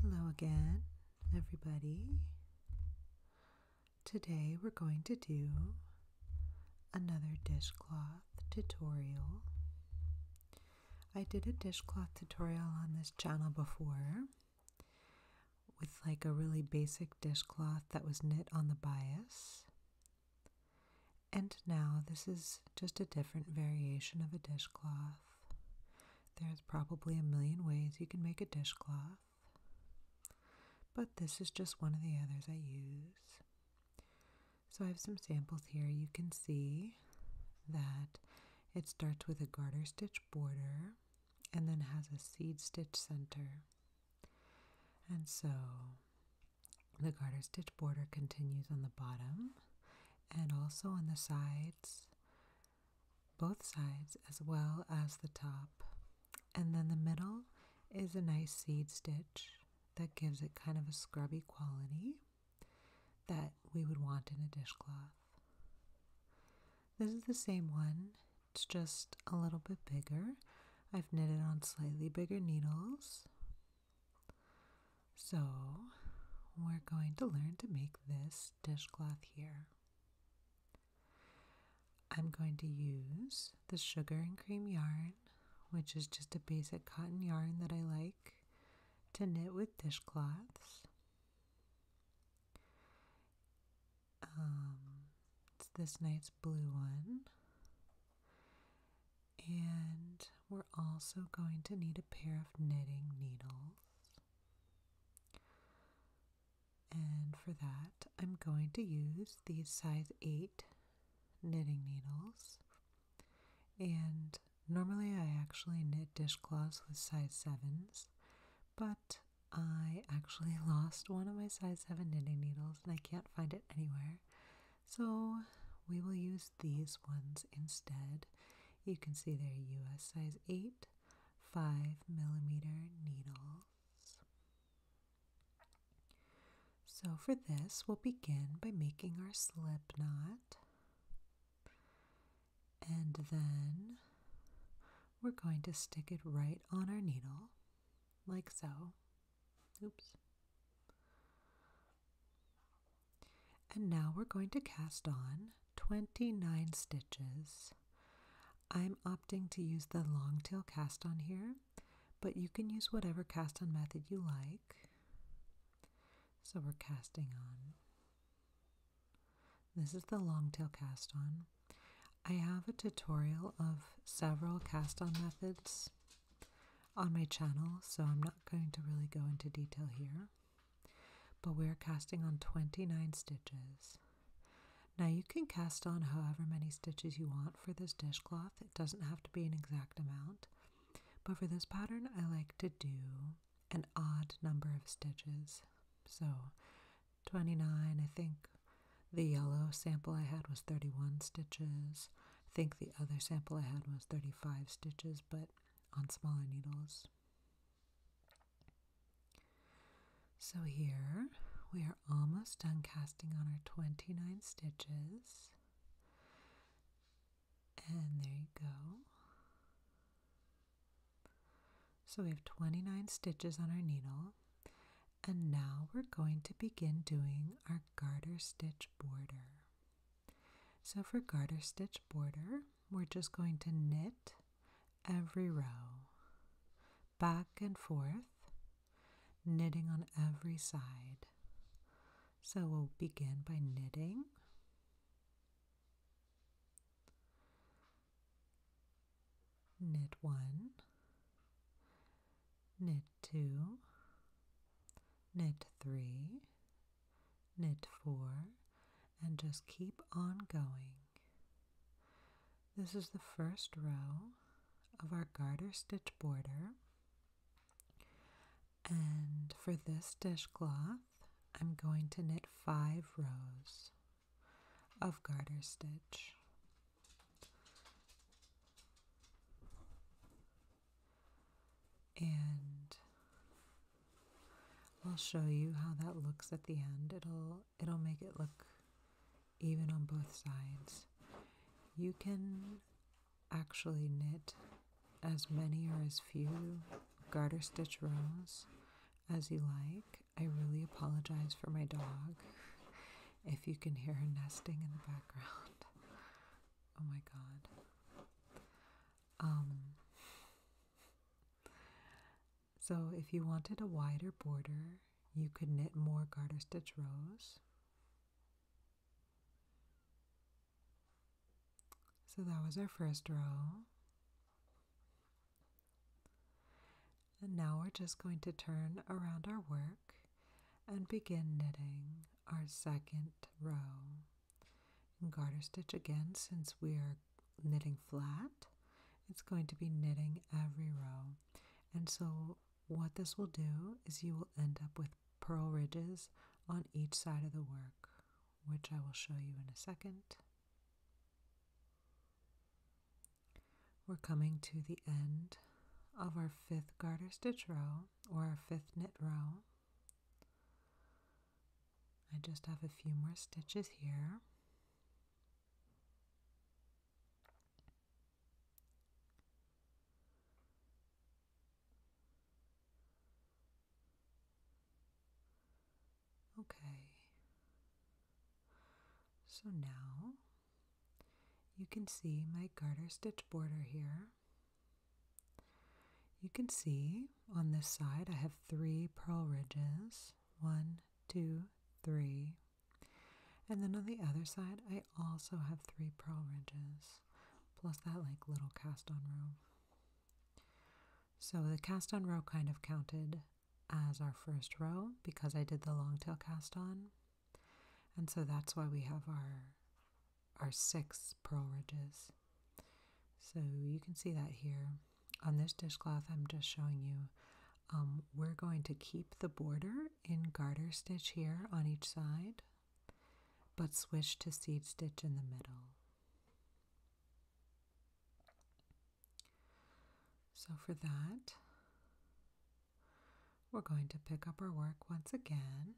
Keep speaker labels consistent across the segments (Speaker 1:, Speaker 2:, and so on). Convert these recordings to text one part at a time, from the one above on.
Speaker 1: Hello again, everybody. Today we're going to do another dishcloth tutorial. I did a dishcloth tutorial on this channel before with like a really basic dishcloth that was knit on the bias. And now this is just a different variation of a dishcloth. There's probably a million ways you can make a dishcloth, but this is just one of the others I use. So I have some samples here. You can see that it starts with a garter stitch border and then has a seed stitch center. And so the garter stitch border continues on the bottom and also on the sides, both sides as well as the top. And then the middle is a nice seed stitch that gives it kind of a scrubby quality that we would want in a dishcloth. This is the same one it's just a little bit bigger. I've knitted on slightly bigger needles. So we're going to learn to make this dishcloth here. I'm going to use the sugar and cream yarn, which is just a basic cotton yarn that I like, to knit with dishcloths. Um, it's this night's blue one. And we're also going to need a pair of knitting needles. And for that, I'm going to use these size 8 knitting needles. And normally I actually knit dishcloths with size 7s, but I actually lost one of my size 7 knitting needles and I can't find it anywhere. So we will use these ones instead. You can see they're US size 8, 5 millimeter needles. So for this, we'll begin by making our slip knot. And then we're going to stick it right on our needle, like so. Oops. And now we're going to cast on 29 stitches. I'm opting to use the long tail cast on here, but you can use whatever cast on method you like. So we're casting on this is the longtail cast on. I have a tutorial of several cast on methods on my channel, so I'm not going to really go into detail here. But we're casting on 29 stitches. Now you can cast on however many stitches you want for this dishcloth. It doesn't have to be an exact amount. But for this pattern, I like to do an odd number of stitches. So 29. I think the yellow sample I had was 31 stitches. I think the other sample I had was 35 stitches, but on smaller needles. So here we are almost done casting on our 29 stitches. And there you go. So we have 29 stitches on our needle. And now we're going to begin doing our garter stitch border. So for garter stitch border, we're just going to knit every row, back and forth, knitting on every side. So we'll begin by knitting knit 1 knit 2 knit 3 knit 4 and just keep on going this is the first row of our garter stitch border and for this dishcloth I'm going to knit 5 rows of garter stitch. And I'll show you how that looks at the end. It'll it'll make it look even on both sides. You can actually knit as many or as few garter stitch rows as you like. I really apologize for my dog. If you can hear her nesting in the background. Oh my god. Um So if you wanted a wider border, you could knit more garter stitch rows. So that was our first row. And now we're just going to turn around our work and begin knitting our second row. And garter stitch again, since we are knitting flat, it's going to be knitting every row. And so what this will do is you will end up with purl ridges on each side of the work, which I will show you in a second. We're coming to the end of our fifth garter stitch row or our fifth knit row. I just have a few more stitches here. Okay. So now you can see my garter stitch border here. You can see on this side I have three purl ridges. One, two, three. And then on the other side I also have three purl ridges. Plus that like little cast on row. So the cast on row kind of counted as our first row because I did the long tail cast on. And so that's why we have our, our six purl ridges. So you can see that here. On this dishcloth I'm just showing you, um, we're going to keep the border in garter stitch here on each side, but switch to seed stitch in the middle. So for that, we're going to pick up our work once again.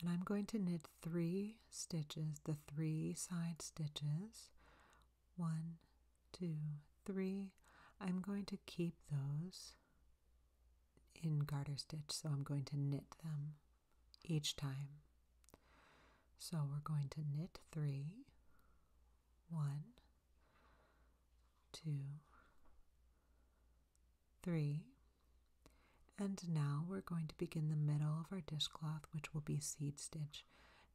Speaker 1: And I'm going to knit three stitches, the three side stitches. One, two, three. I'm going to keep those in garter stitch, so I'm going to knit them each time. So we're going to knit three, one, two, three, and now we're going to begin the middle of our dishcloth, which will be seed stitch.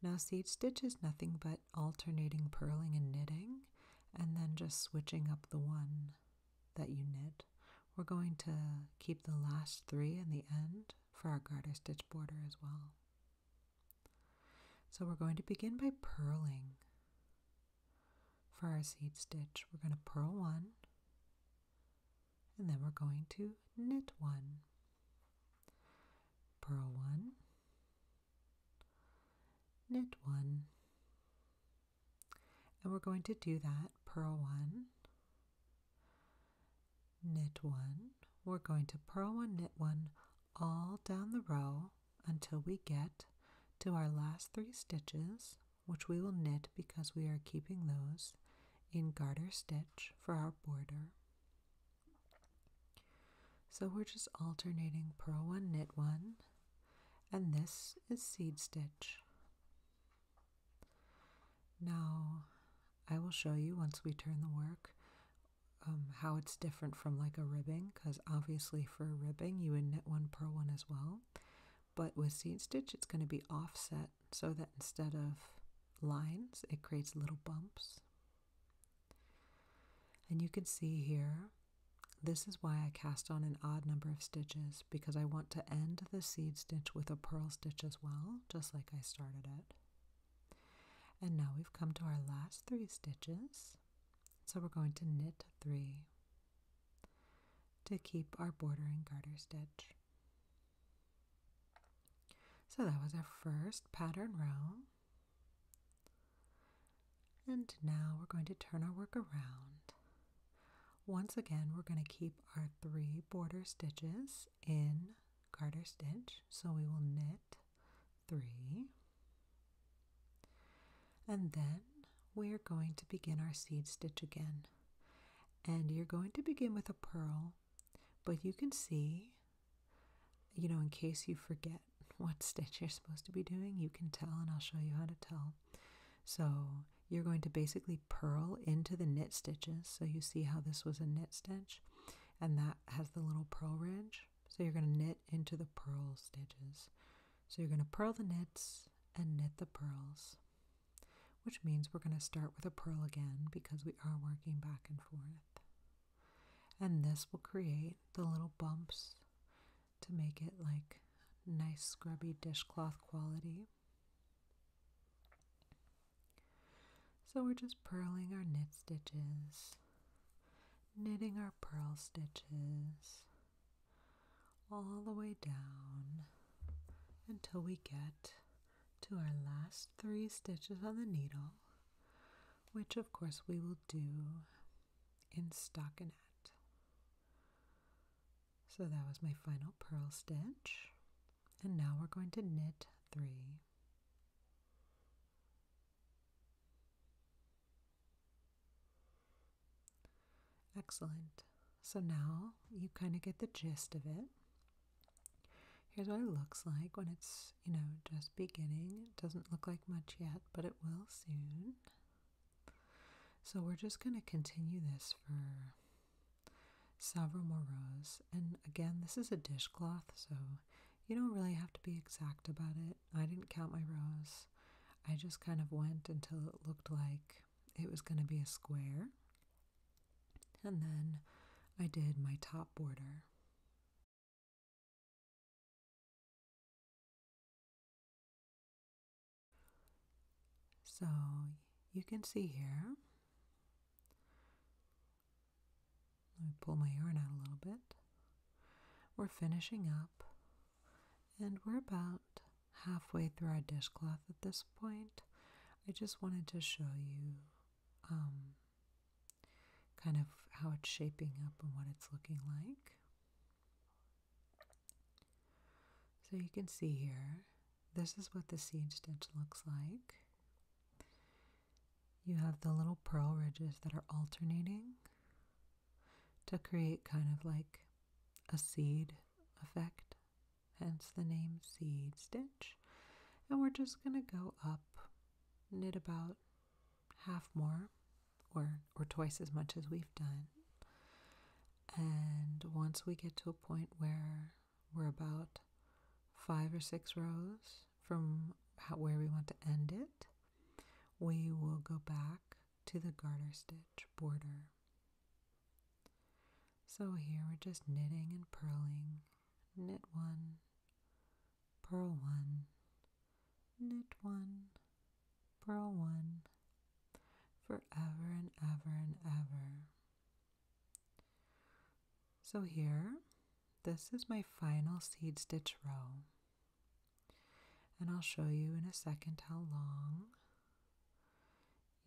Speaker 1: Now seed stitch is nothing but alternating purling and knitting, and then just switching up the one that you knit. We're going to keep the last three in the end for our garter stitch border as well. So we're going to begin by purling for our seed stitch. We're going to purl one and then we're going to knit one. Purl one, knit one, and we're going to do that purl one, knit one. We're going to purl one, knit one all down the row until we get to our last three stitches, which we will knit because we are keeping those in garter stitch for our border. So we're just alternating purl one, knit one, and this is seed stitch. Now, I will show you once we turn the work um, how it's different from like a ribbing, because obviously for a ribbing you would knit one, purl one as well. But with seed stitch, it's going to be offset so that instead of lines, it creates little bumps. And you can see here this is why I cast on an odd number of stitches because I want to end the seed stitch with a purl stitch as well, just like I started it. And now we've come to our last three stitches. So we're going to knit three to keep our border and garter stitch. So that was our first pattern row. And now we're going to turn our work around once again, we're going to keep our three border stitches in garter stitch. So we will knit three. And then we are going to begin our seed stitch again. And you're going to begin with a purl, but you can see, you know, in case you forget what stitch you're supposed to be doing, you can tell, and I'll show you how to tell so you're going to basically purl into the knit stitches. So you see how this was a knit stitch and that has the little purl ridge. So you're going to knit into the purl stitches. So you're going to purl the knits and knit the purls, which means we're going to start with a purl again because we are working back and forth. And this will create the little bumps to make it like nice scrubby dishcloth quality. So we're just purling our knit stitches, knitting our purl stitches all the way down until we get to our last three stitches on the needle, which of course we will do in stockinette. So that was my final purl stitch. And now we're going to knit three. Excellent. So now you kind of get the gist of it. Here's what it looks like when it's, you know, just beginning. It doesn't look like much yet, but it will soon. So we're just going to continue this for several more rows. And again, this is a dishcloth, so you don't really have to be exact about it. I didn't count my rows. I just kind of went until it looked like it was going to be a square. And then I did my top border. So you can see here. Let me pull my yarn out a little bit. We're finishing up and we're about halfway through our dishcloth at this point. I just wanted to show you um, kind of how it's shaping up and what it's looking like. So you can see here, this is what the seed stitch looks like. You have the little purl ridges that are alternating to create kind of like a seed effect, hence the name seed stitch. And we're just going to go up, knit about half more or or twice as much as we've done. And once we get to a point where we're about five or six rows from where we want to end it, we will go back to the garter stitch border. So here we're just knitting and purling, knit one, purl one, knit one, purl one, forever and ever and ever. So here, this is my final seed stitch row. And I'll show you in a second how long.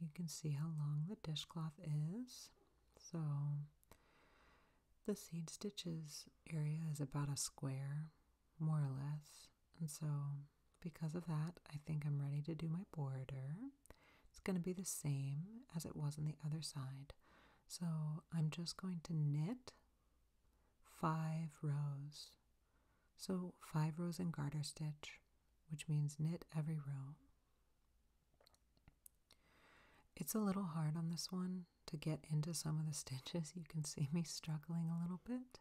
Speaker 1: You can see how long the dishcloth is. So the seed stitches area is about a square, more or less. And so, because of that, I think I'm ready to do my border. It's going to be the same as it was on the other side. So I'm just going to knit five rows. So five rows in garter stitch, which means knit every row. It's a little hard on this one to get into some of the stitches. You can see me struggling a little bit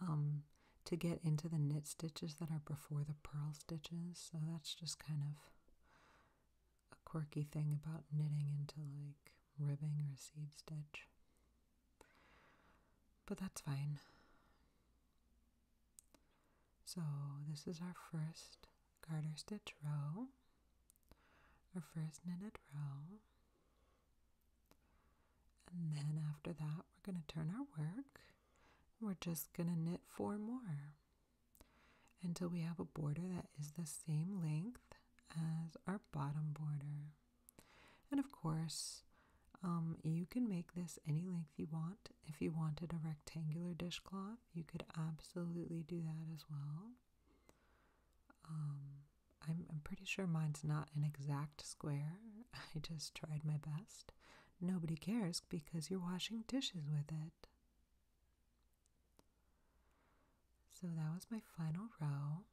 Speaker 1: um, to get into the knit stitches that are before the purl stitches. So that's just kind of a quirky thing about knitting into like ribbing or seam stitch. But that's fine. So this is our first garter stitch row our first knitted row. And then after that, we're going to turn our work. We're just going to knit four more until we have a border that is the same length as our bottom border. And of course, um, you can make this any length you want. If you wanted a rectangular dishcloth, you could absolutely do that as well. Um, I'm, I'm pretty sure mine's not an exact square. I just tried my best. Nobody cares because you're washing dishes with it. So that was my final row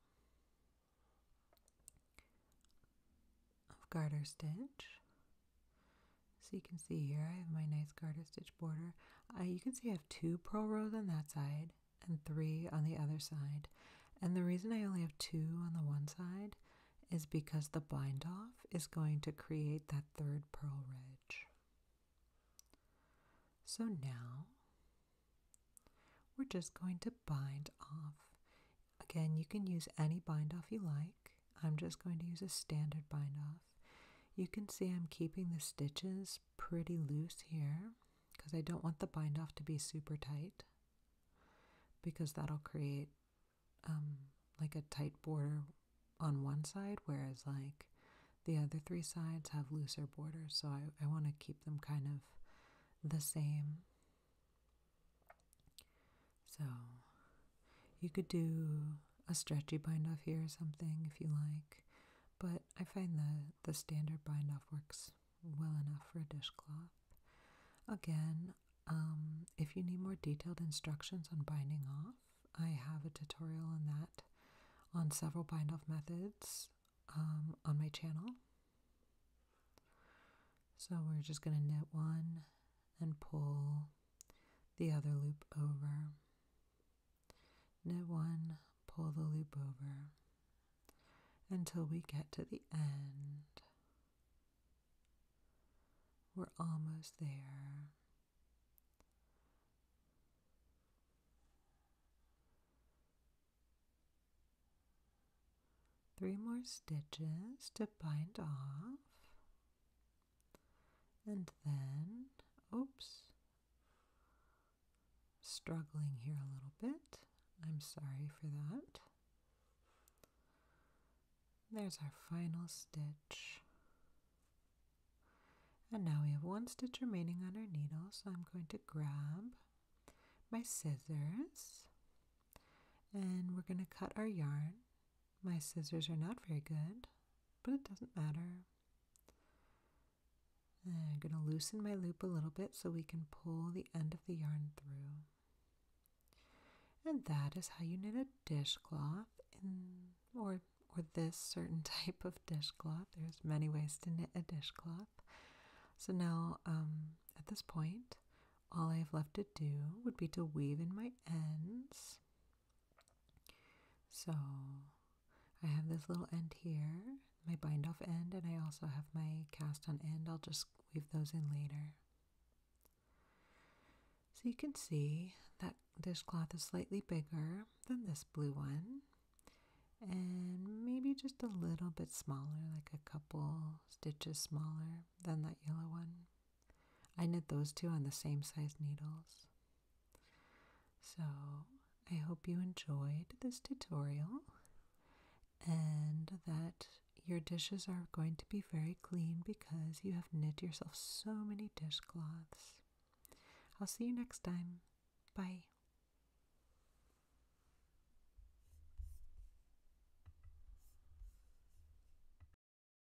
Speaker 1: of garter stitch. So you can see here I have my nice garter stitch border you can see I have two purl rows on that side and three on the other side. And the reason I only have two on the one side is because the bind off is going to create that third purl ridge. So now we're just going to bind off. Again, you can use any bind off you like. I'm just going to use a standard bind off. You can see I'm keeping the stitches pretty loose here because I don't want the bind off to be super tight because that'll create um, like a tight border on one side, whereas like the other three sides have looser borders. So I, I want to keep them kind of the same. So you could do a stretchy bind off here or something if you like. But I find the, the standard bind off works well enough for a dishcloth. Again, um, if you need more detailed instructions on binding off, I have a tutorial on that on several bind off methods um, on my channel. So we're just going to knit one and pull the other loop over. Knit one, pull the loop over until we get to the end. We're almost there. Three more stitches to bind off. And then, oops, struggling here a little bit. I'm sorry for that. There's our final stitch. And now we have one stitch remaining on our needle, so I'm going to grab my scissors and we're going to cut our yarn my scissors are not very good, but it doesn't matter. I'm going to loosen my loop a little bit so we can pull the end of the yarn through. And that is how you knit a dishcloth or or this certain type of dishcloth. There's many ways to knit a dishcloth. So now um, at this point, all I've left to do would be to weave in my ends so I have this little end here, my bind off end, and I also have my cast on end. I'll just weave those in later. So you can see that dishcloth is slightly bigger than this blue one and maybe just a little bit smaller, like a couple stitches smaller than that yellow one. I knit those two on the same size needles. So I hope you enjoyed this tutorial and that your dishes are going to be very clean because you have knit yourself so many dishcloths. I'll see you next time. Bye.